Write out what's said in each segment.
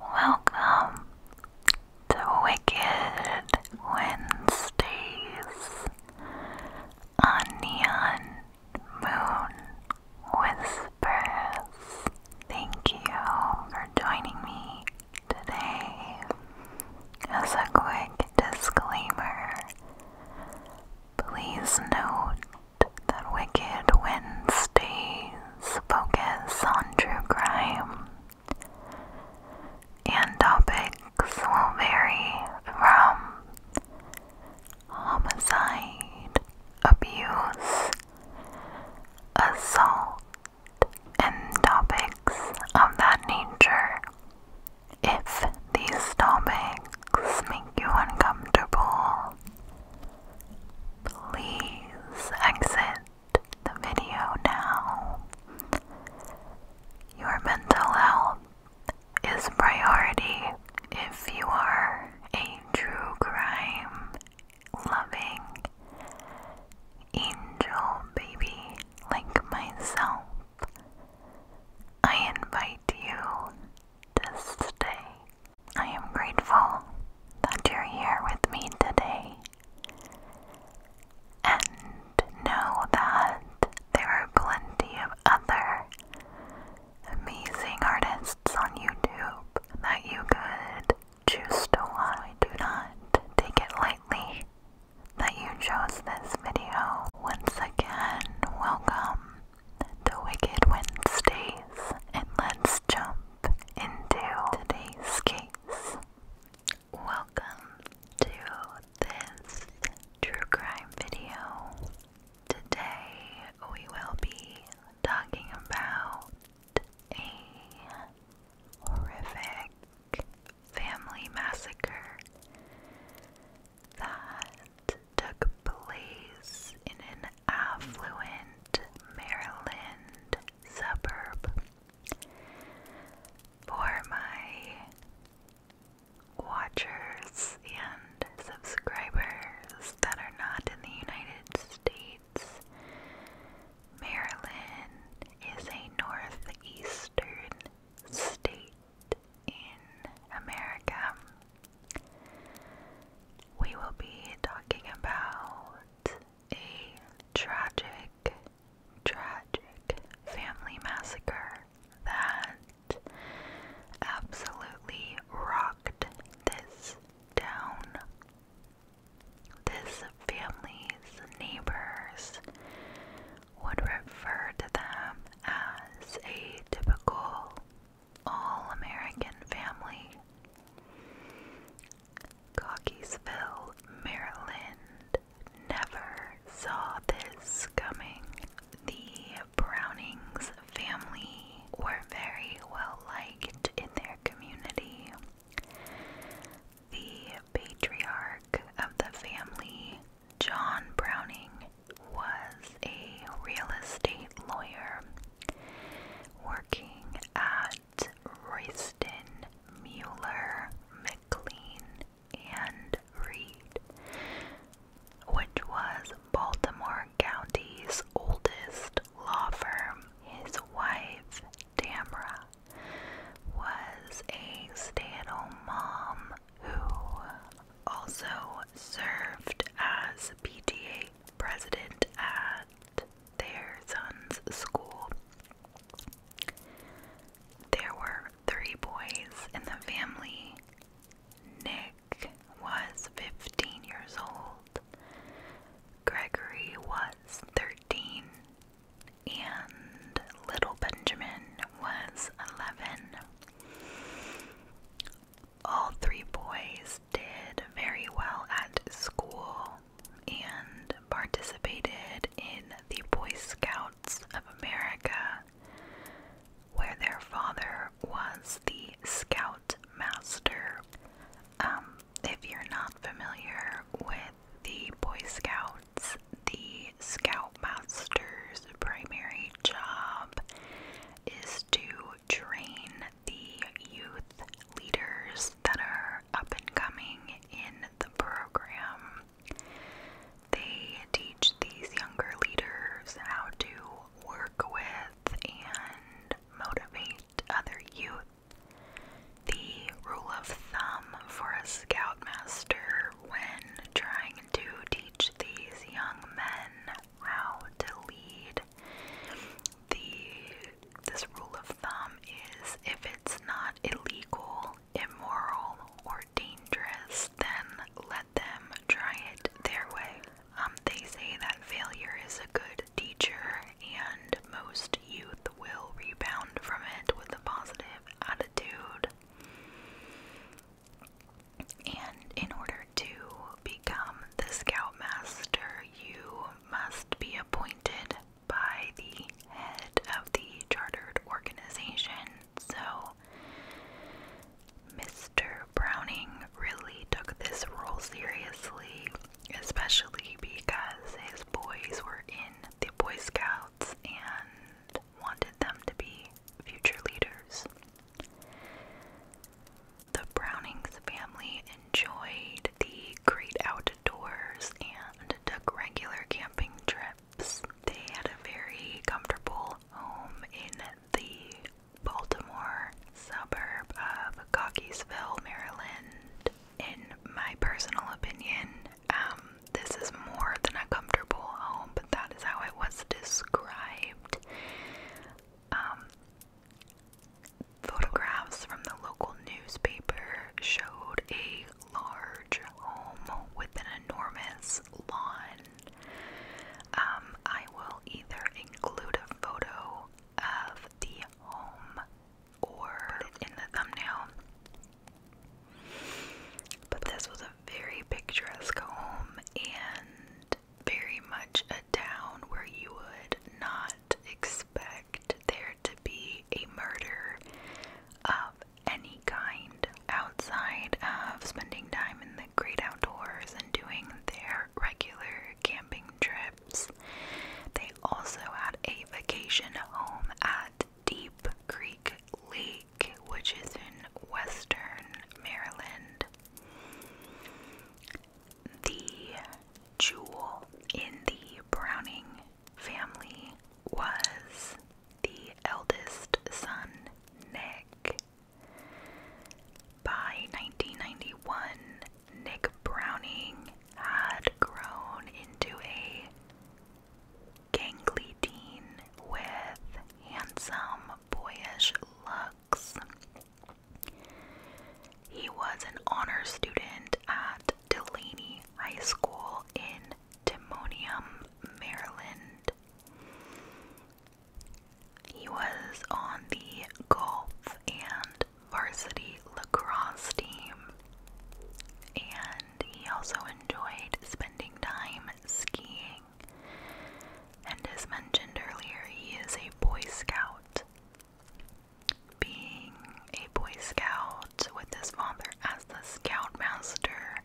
Welcome to Wicked Wednesdays on Neon Moon Whispers. Thank you for joining me today. As a quick disclaimer, please note that Wicked Wednesdays focus on true crime, and topics will vary from homicide, abuse, assault, and topics of that nature. If these topics make you uncomfortable, Please exit the video now. Your mental health is priority if you are a true crime loving angel baby like myself. I invite you to stay I am grateful that you're here with me today and know that there are plenty of other amazing artists on YouTube that you could choose to watch. I do not take it lightly that you chose this video. Once again, welcome to Wicked Wednesdays, and let's jump into today's case. Welcome to this true crime video. Today we will be talking about a horrific family massacre that took place in affluent Maryland suburb. For my watchers and subscribers that are not in the United States, Maryland is a northeastern state in America. We will be talking about a tragic, tragic family massacre that absolutely rocked this town. This family's neighbors would refer to them as a typical all American family. Cockeysville, Maryland never saw this coming. The Brownings family were very well liked in their community. The patriarch of the family, John Browning, was a real estate lawyer working at Royston, Mueller, McLean, and Reed, which was Baltimore County's oldest law firm. His wife, Tamra, was a stay at home mom who also served as PTA president at their son's school. There were three boys in the family. Nick was 15 years old, Gregory was 13, and little Benjamin was 11 all three boys did very well at school and participated in the Boy Scouts of America, where their father was the Scout Master. Um, if you're not familiar with the Boy Scouts, the Scout Master's primary job is to train the youth leaders that are up and coming in the program. They teach these younger leaders how to work with and motivate other youth. The rule of thumb for a scoutmaster when trying to teach these young men how to lead. The this rule of thumb is if it's not illegal, immoral, or dangerous, then let them try it their way. Um, they say that failure is a good teacher, and most youth will rebound from it with a positive attitude. And in order to become the Scoutmaster, you must be appointed by the head of the chartered organization. So, Mr. Browning really took this role seriously, especially because his boys were in the Boy Scouts and wanted them to be future leaders. The Brownings family enjoyed the great outdoors and took regular camping trips. They had a very comfortable home in the Baltimore suburb of Cockeysville, Maryland. In my personal opinion, um, this is more than a comfortable home, but that is how it was described. Um, Photographs from the local newspaper showed a large home with an enormous lawn. Um, I will either include a photo of the home or in the thumbnail. But this was a very picturesque home, and very much a town where you would not expect there to be a murder of any kind outside of spending time in the great outdoors and doing their regular camping trips. They also had a vacation home at Deep Creek Lake, which is in western Maryland the jewel in the Browning family was the eldest son, Nick. By 1991, Nick Browning had grown into a gangly teen with handsome, boyish looks. He was an honor student at Delaney High School in Timonium, Maryland. He was on the golf and varsity lacrosse team, and he also enjoyed spending time skiing and as mentioned earlier, he is a Boy Scout. Being a Boy Scout with his father as the Scoutmaster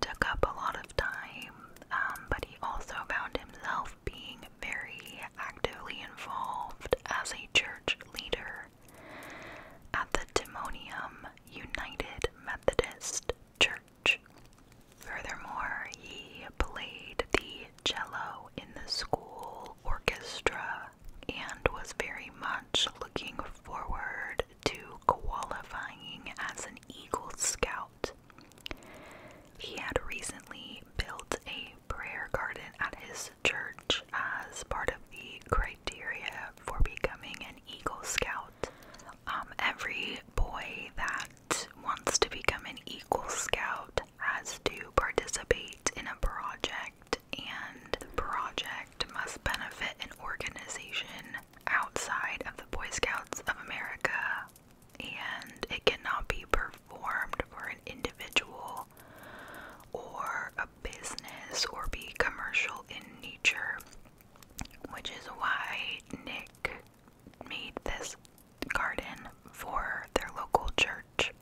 took up a lot of time, um, but he also found himself being very actively involved as a church leader at the Demonium United Methodist Church. Furthermore, he played the cello in the school orchestra and was very much looking forward to qualifying as an Eagle Scout. He had recently built a prayer garden at his church as part of the criteria for becoming an Eagle Scout. Um, every boy that wants to become an Eagle Scout has to participate in a project, and the project must benefit an organization outside of the Boy Scouts of America, and it cannot be performed for an individual or a business or be commercial in nature, which is why Nick made this garden for their local church.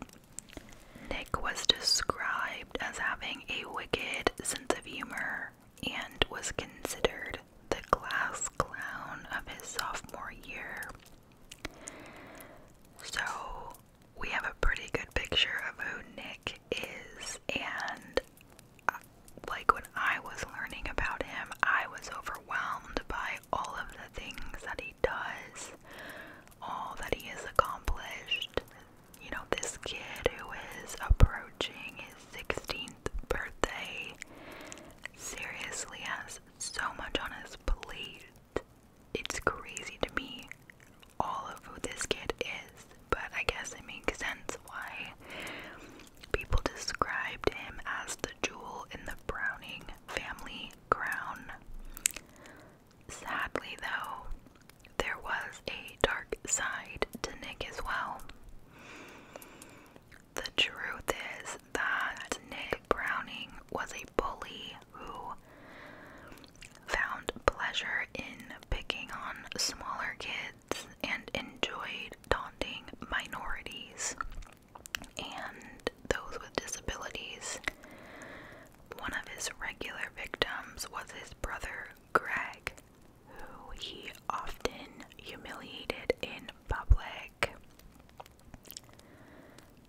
Nick was described as having a wicked sense of humor and was considered the class clown of his sophomore year. So, we have a pretty good picture of who Nick is, and uh, like when I was learning about him, I was overwhelmed by all of the things that he does, all that he has accomplished. You know, this kid who is approaching his 16th birthday seriously has so much on his plate. It's crazy to me all of who this kid is, but I guess it makes sense why People described him as the jewel in the Browning family crown. Sadly, though, there was a dark side to Nick as well. The truth is that Nick Browning was a bully who found pleasure in picking on smaller kids and enjoyed taunting minorities and those with disabilities. One of his regular victims was his brother Greg, who he often humiliated in public.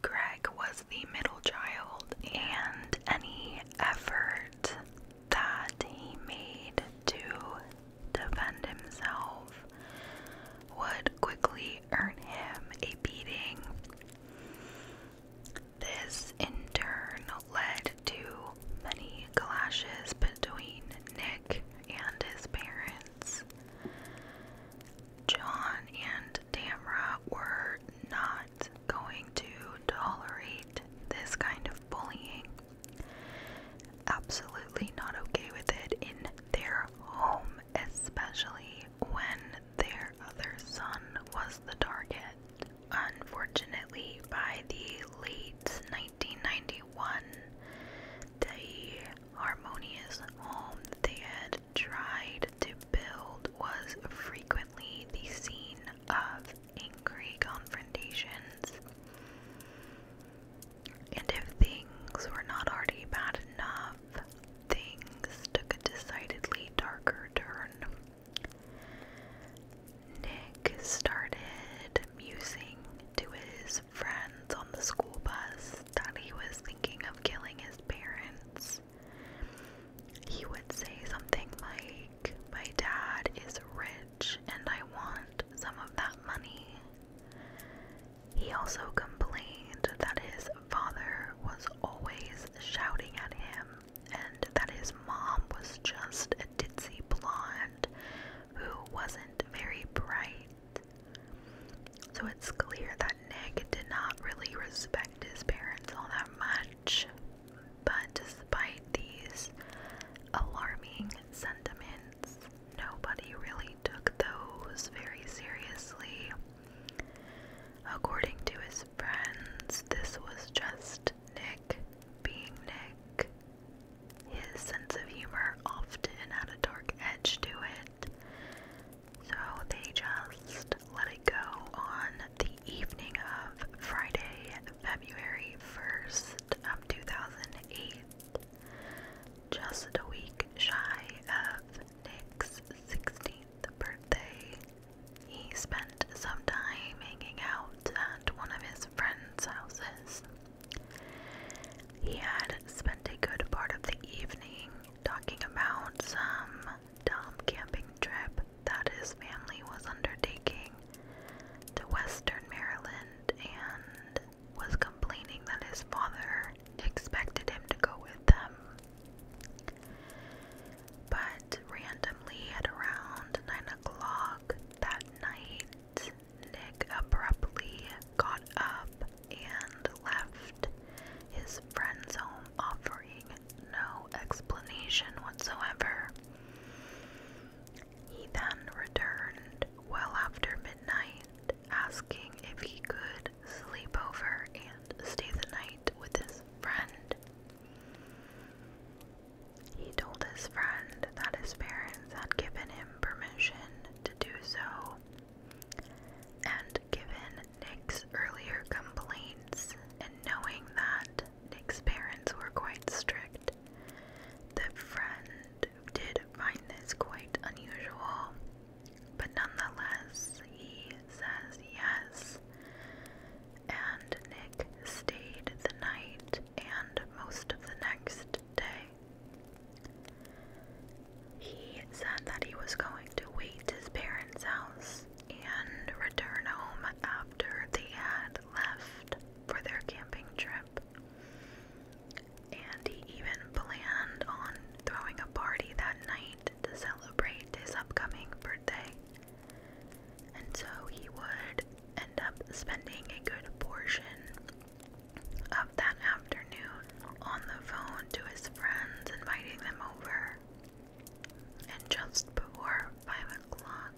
Greg was the middle child, and any effort that he made to defend himself would quickly earn him a beating. This in turn led to many clashes between Nick and his parents. John and Tamra were not going to tolerate this kind of bullying absolutely not okay with it in their home, especially when their other son was the target. Unfortunately, by the late 1991, the harmonious home they had tried to build was frequently the scene of angry confrontations. And if things were not already bad enough, things took a decidedly darker turn. Nick started musing to his friends on the school bus that he was thinking of killing his parents. He would say something like, My dad is rich and I want some of that money he also complained that his father was always shouting at him and that his mom was just a ditzy blonde who wasn't very bright. So it's clear that Nick did not really respect his parents all that much. But despite these alarming sentiments, nobody really took those very seriously. According to his friends, this was just Nick being Nick. His sense of humor often had a dark edge to it, so they just let it go on the evening of Friday, February 1st of 2008. Just a week shy of Nick's 16th birthday, he spent some time hanging out at one of his friends' houses. He had spent a good part of the evening talking about some dumb camping trip that his family was undertaking to Western Maryland and was complaining that his father expected him to go with them. But randomly, at around 9 o'clock that night, Nick abruptly got up and left his friend's home, offering no explanation whatsoever. He then returned well after midnight, asking if he could sleep over and stay the night with his friend. He told his friend that his parents had given him permission to do so, and given Nick's earlier complaints, and knowing that Nick's parents were quite strict, the friend did find this quite unusual, but nonetheless, he says yes. And Nick stayed the night and most of the next day. He said that he was going to wait his parents' house and return home after they had left for their camping trip. And he even planned on throwing a party that night to celebrate his upcoming birthday. And so he would end up spending a good portion of that afternoon on the phone to his friends, inviting them over. And just before 5 o'clock,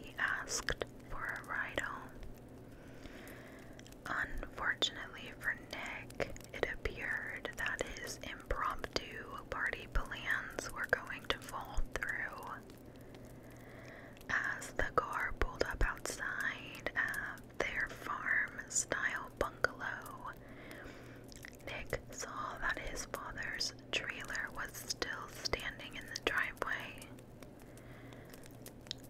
he asked for a ride home. Unfortunately for Nick, it appeared that his impromptu party plans were going to fall through. As the car pulled up outside at their farm style bungalow, Nick saw that his father's trailer was still standing in the driveway.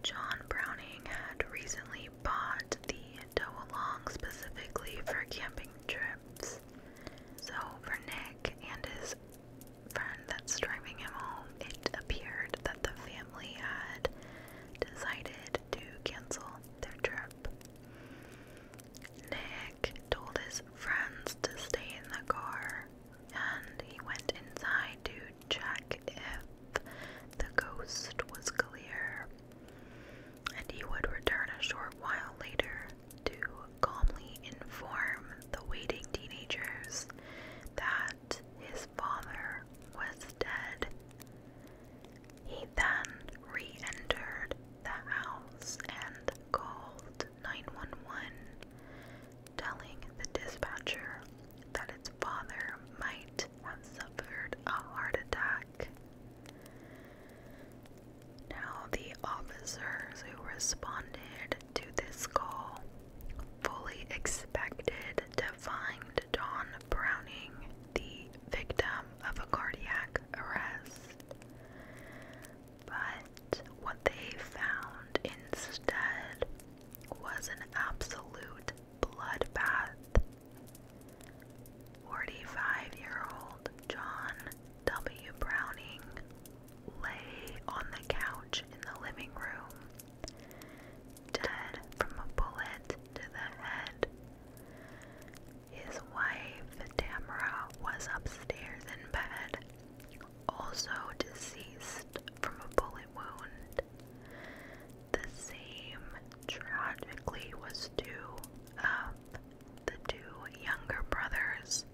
John Browning had recently bought the tow along specifically for camping trips. So, for Nick and his friend that's driving him home, it appeared that the family had decided to cancel their trip. Nick told his friends to stay in the car and he went inside to check if the ghost was clear, and he would return a short while later to calmly inform the waiting teenagers that his father was dead. He then re entered the house and called 911 telling the dispatcher that its father might have suffered a heart attack. Now, the officers who responded to this call fully expected to find Don Browning the victim of a cardiac arrest. But what they found instead was an absolute bloodbath. 45 year old John W. Browning lay on the couch in the living room, dead from a bullet to the head. His wife, Tamara, was upstairs in bed also deceased from a bullet wound. The same tragically was due of um, the two younger brothers.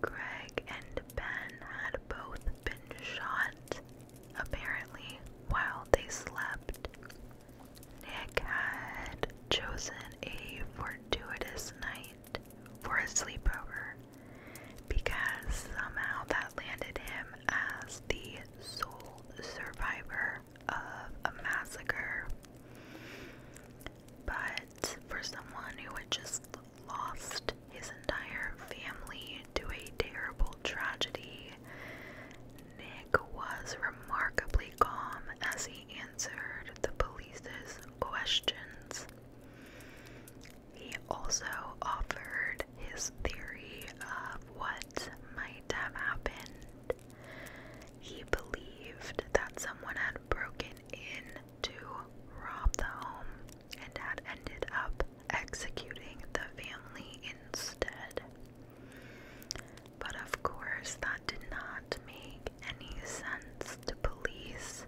Greg and Ben had both been shot, apparently, while they slept. Nick had chosen a fortuitous night for a sleepover because somehow that landed him as the sole survivor of a massacre. But for someone who had just lost his entire family to a terrible tragedy, Nick was remarkably calm as he answered the police's questions. He also offered his theory of what might have happened. He believed that someone had broken in to rob the home and had ended up executing the family instead. But of course, that did not make any sense to police.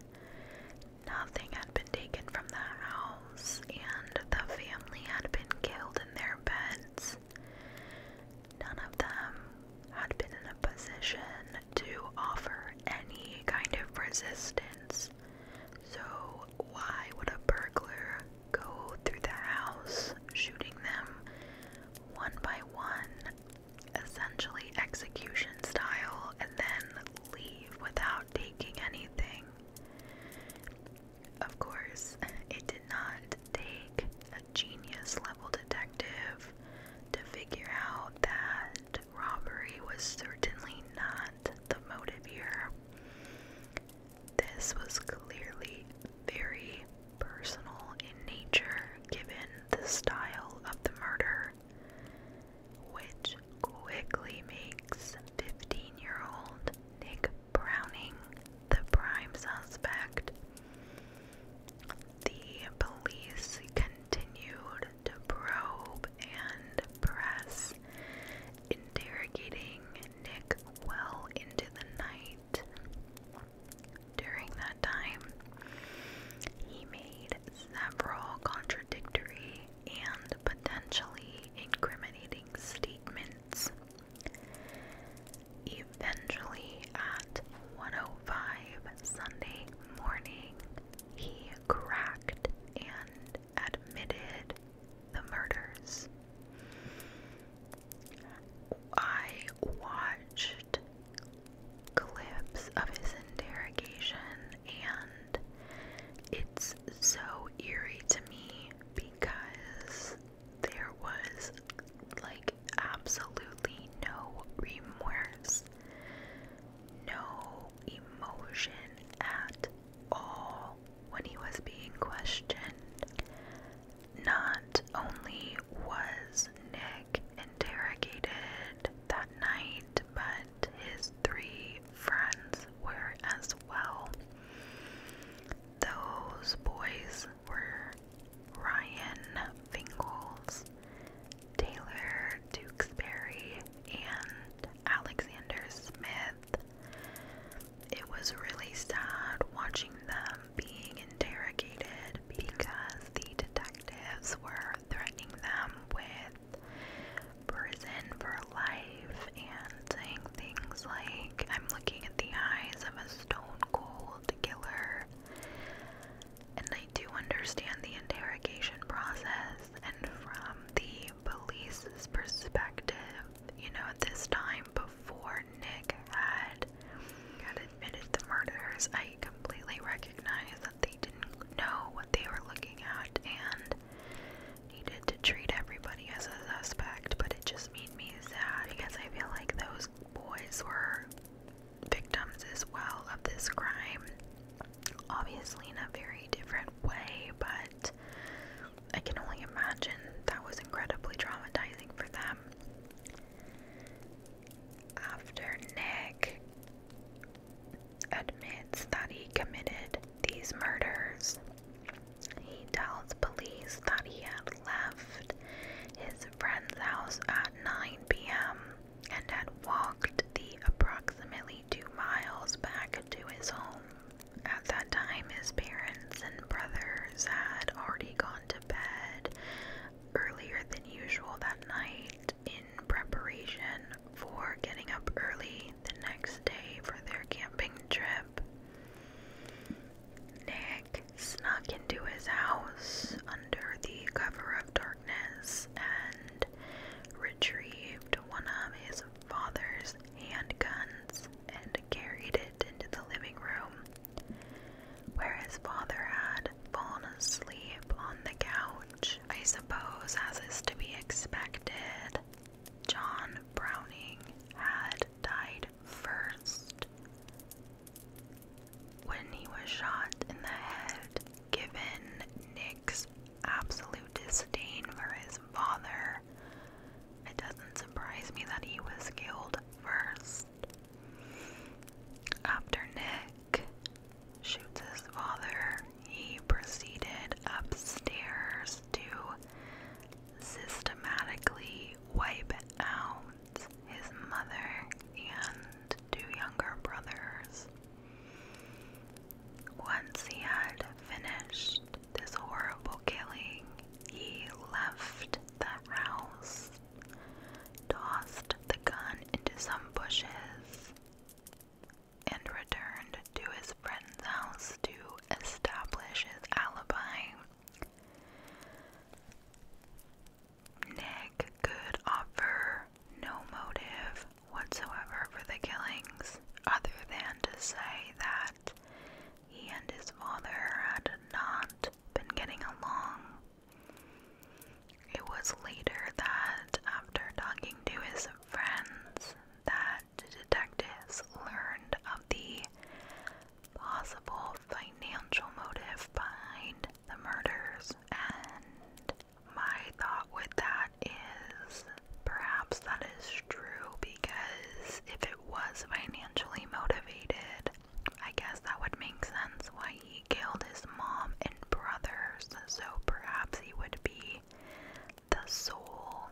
Nothing had been taken from the house, and the family had been killed in their beds. None of them had been in a position to offer any kind of resistance. So, why would a burglar go through the house, shooting them one by one essentially execution style and then leave without taking anything. Of course, it did not take a genius level detective to figure out that robbery was certainly not the motive here. This was clearly very personal in nature given the style of the murder which quickly makes 15 year old Nick Browning the prime suspect. The police continued to probe and press, interrogating Nick well into the night. During that time, he made that several contradictory and potentially incriminating statements. Eventually, at one o oh five Sunday morning, he cracked and admitted the murders. I watched clips of his interrogation, and it's so eerie to me because there was like absolutely no remorse, no emotion at all when he was being questioned. Not only was Nick interrogated that night, but his three friends were as well. Those boys were Ryan Fingles, Taylor Tewksbury, and Alexander Smith. It was really sad watching them being interrogated because the detectives were threatening them with prison for life and things like, I'm looking at the eyes of a stone cold killer. And I do understand the interrogation process, and from the police's perspective, you know, at this time before Nick had had admitted the murders, I completely recognize they didn't know what they were looking at and needed to treat everybody as a suspect, but it just made me sad because I feel like those boys were victims as well of this crime. Obviously, in a very different way, but I can only imagine that was incredibly traumatizing for them. After Nick, admits that he committed these murders. He tells police that he had left his friend's house at 9 p.m. and had walked the approximately two miles back to his home. At that time, his parents and brothers had already gone to bed earlier than usual that night, in preparation for getting up early the next day for their camping trip, Nick snuck into his house under the cover of darkness and retrieved one of his father's handguns and carried it into the living room. Where his father had fallen asleep on the couch I suppose, as is to be expected. John Browning had died first when he was shot in the head, given Nick's absolute disdain for his father. It doesn't surprise me that he was killed first. After Nick, shoots his father, he proceeded upstairs to systematically wipe out his mother and two younger brothers. Once he had finished this horrible killing, he left the house tossed the gun into some bushes, and returned to his friend's house to establish his alibi. Nick could offer no motive whatsoever for the killings, other than to say that he and his father had not been getting along it was later that, after talking to his friends, that detectives learned of the possible financial motive behind the murders. And my thought with that is perhaps that is true because if it was financially motivated, I guess that would make sense why he killed his mom and brothers, so perhaps he would be the sole,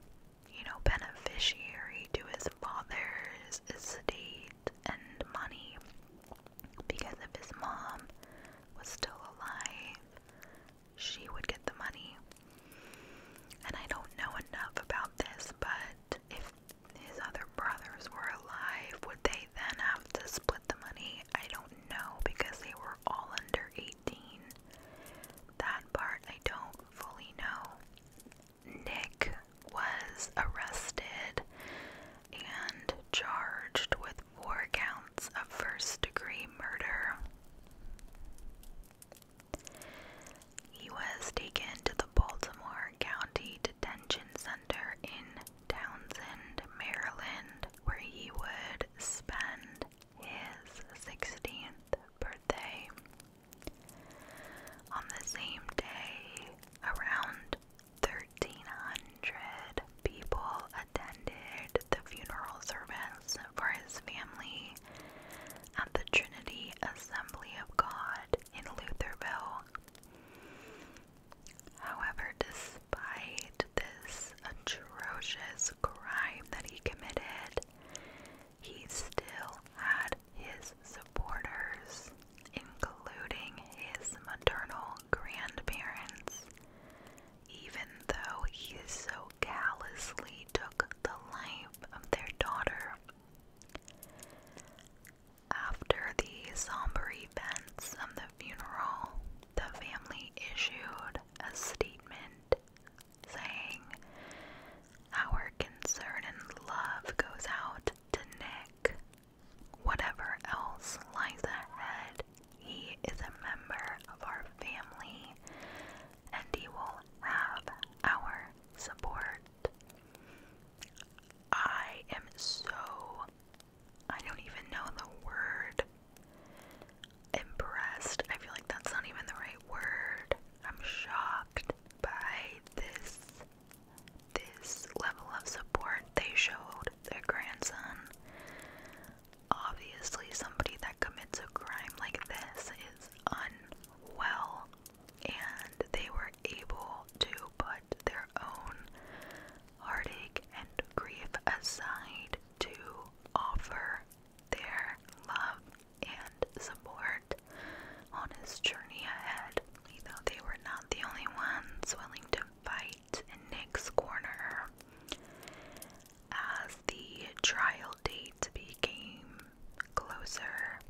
you know, beneficiary to his father's estate and money. Because if his mom was still alive, she would get the money. And I don't know enough about this, but if his other brothers were alive, would they then have to split the money? I don't know because they were all under 18. That part I don't fully know. Nick was arrested and charged with four counts of first degree murder. He was taken to the Baltimore County Detention Center in Townsend, Maryland, where he would spend his 16th birthday. On the same day, around 1300 people attended the funeral service for his family at the Trinity Assembly of God in Lutherville. However, despite despite this atrocious crime that he committed, he still had his supporters, including his maternal grandparents, even though he so callously took the life of their daughter. After the somber events of the funeral, the family issued a statement saying, Our concern and love goes out to Nick. Whatever else lies ahead, he is a member of our family and he will have our support. I am so I don't even know the word impressed. I feel like that's not even the right word. I'm shocked by this this level of support they showed their grandson. Obviously, somebody that commits a crime like this is unwell, and they were able to put their own heartache and grief aside to offer their love and support on his journey ahead. You they were not the only ones willing to fight in Nick's corner. As the trial date became closer,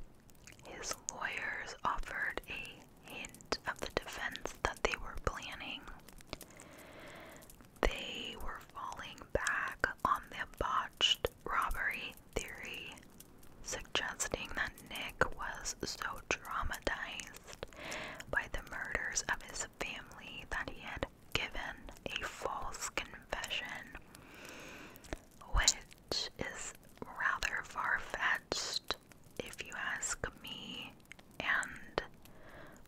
his lawyers offered a hint of the defense that they were planning. They were falling back on the botched robbery theory, suggesting that Nick was so traumatized by the murders of his family that he had given a false confession, which is rather far fetched if you ask me, and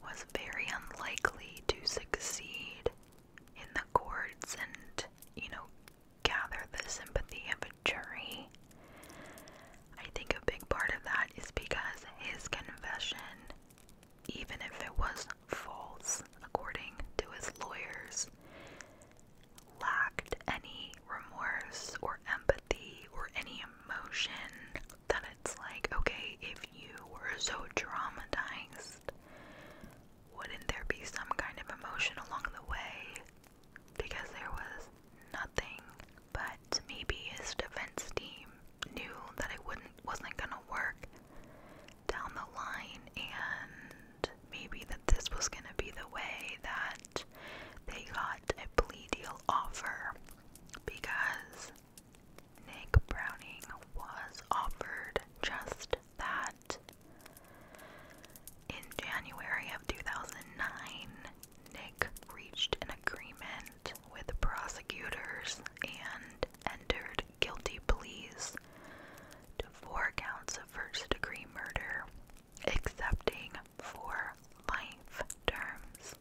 was very unlikely to succeed in the courts and, you know, gather the sympathy of a jury. I think a big part of that is because his confession, even if it was false, according to his lawyers, lacked any remorse or empathy or any emotion that it's like, okay, if you were so traumatized, wouldn't there be some kind of emotion along the way? Because there was nothing, but maybe his defense team knew that it wasn't gonna work down the line and maybe that this was gonna be the way that they got a plea deal offer because Nick Browning was offered just that. In January of 2009, Nick reached an agreement with prosecutors and entered guilty pleas to four counts of first degree murder accepting for life terms.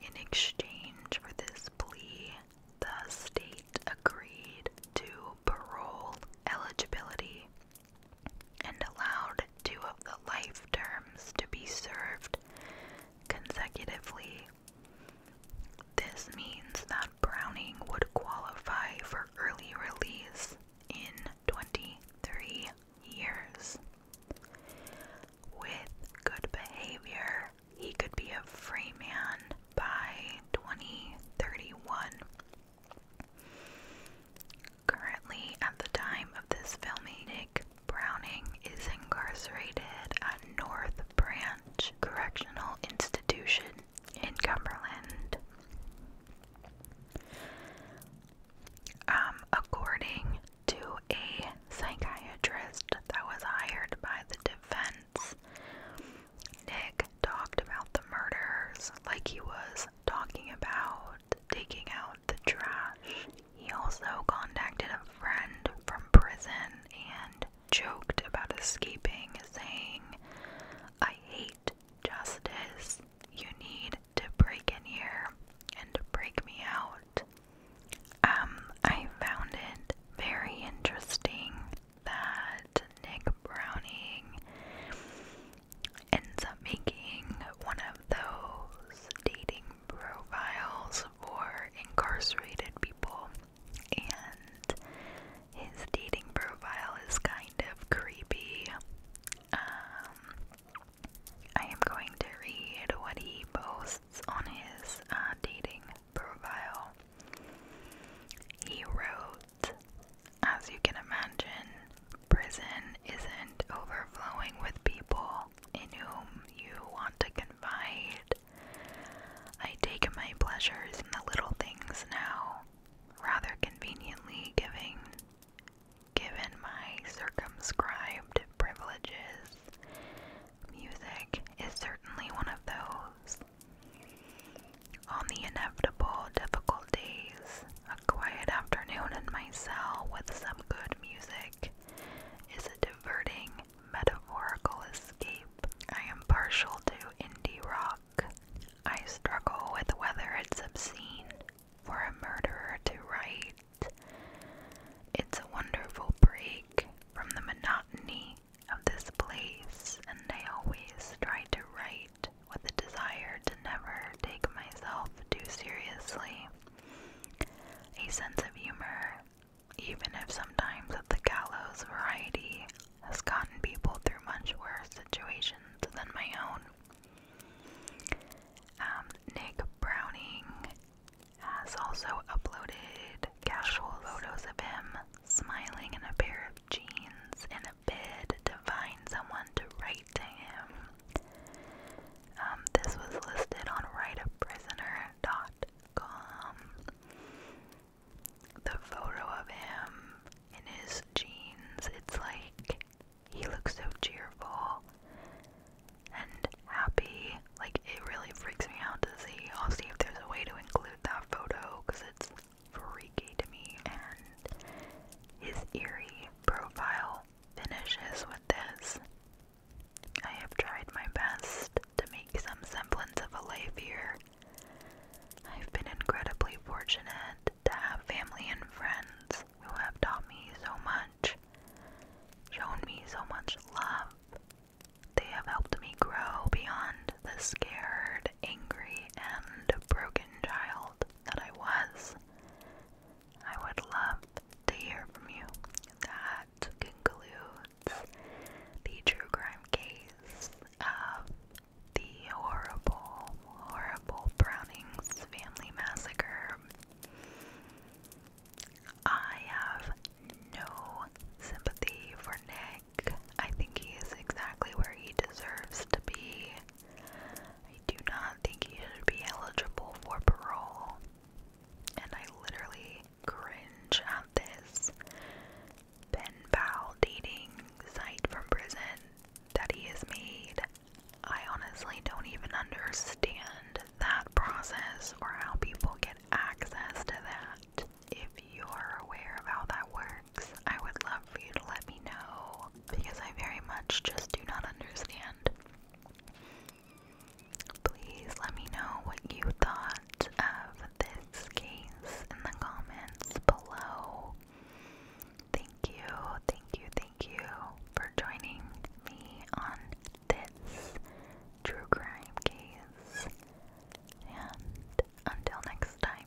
In exchange for this plea, the state agreed to parole eligibility and allowed two of the life terms to be served consecutively. This means that Browning would qualify for early release in 23 years. With good behavior, he could be a free man by 2031. Currently, at the time of this filming, Nick Browning is incarcerated at North Branch Correctional Institution in Cumberland. Um, according to a psychiatrist that was hired by the defense, Nick talked about the murders like he was talking about taking out the trash. He also contacted a friend from prison and joked about escaping, saying, I hate justice. You need to break in here and to break me out. Um, I found it very interesting that Nick Browning ends up making one of those dating profiles for incarcerated people, and his dating profile is kind of creepy. Um, I am going to read what he posts on his uh, dating profile. He wrote, as you can imagine, prison isn't overflowing with people in whom you want to confide. I take my pleasures in the little things now, rather conveniently giving Given my circumscribed privileges, music is certainly one of those. On the inevitable difficult days, a quiet afternoon in my cell with some good music is a diverting, metaphorical escape. I am partial to indie rock. I struggle with whether it's obscene for a murderer to write. It's a wonderful break from the monotony of this place, and I always try to write with a desire to never take myself too seriously. A sense of humor, even if sometimes of the gallows variety, has gotten people through much worse situations than my own. Um, Nick Browning has also uploaded casual photos of him smiling in a pair of jeans in a bid to find someone to write to him. Um, this was listed on writeaprisoner.com. The photo of him in his jeans, it's like he looks so cheerful and happy. Like, it really freaks me out to see. I'll see if there's a way to include that photo because it's freaky to me. And his eerie profile finishes with this. I have tried my best to make some semblance of a life here. I've been incredibly fortunate to have family and friends who have taught me so much, shown me so much love. They have helped me grow beyond the scared, angry, and broken child that I was. I would love to hear from you. That concludes the true crime case of the horrible, horrible Browning's family massacre. I have no sympathy for Nick. I think he is exactly where he deserves to be. I do not think he should be eligible for parole. And I literally cringe at this pen pal dating site from prison that he made. I honestly don't even understand that process or how people get access to that. If you're aware of how that works, I would love for you to let me know because I very much just do not understand. Please let me know what you thought of this case in the comments below. Thank you, thank you, thank you for joining me on this true crime case. And until next time.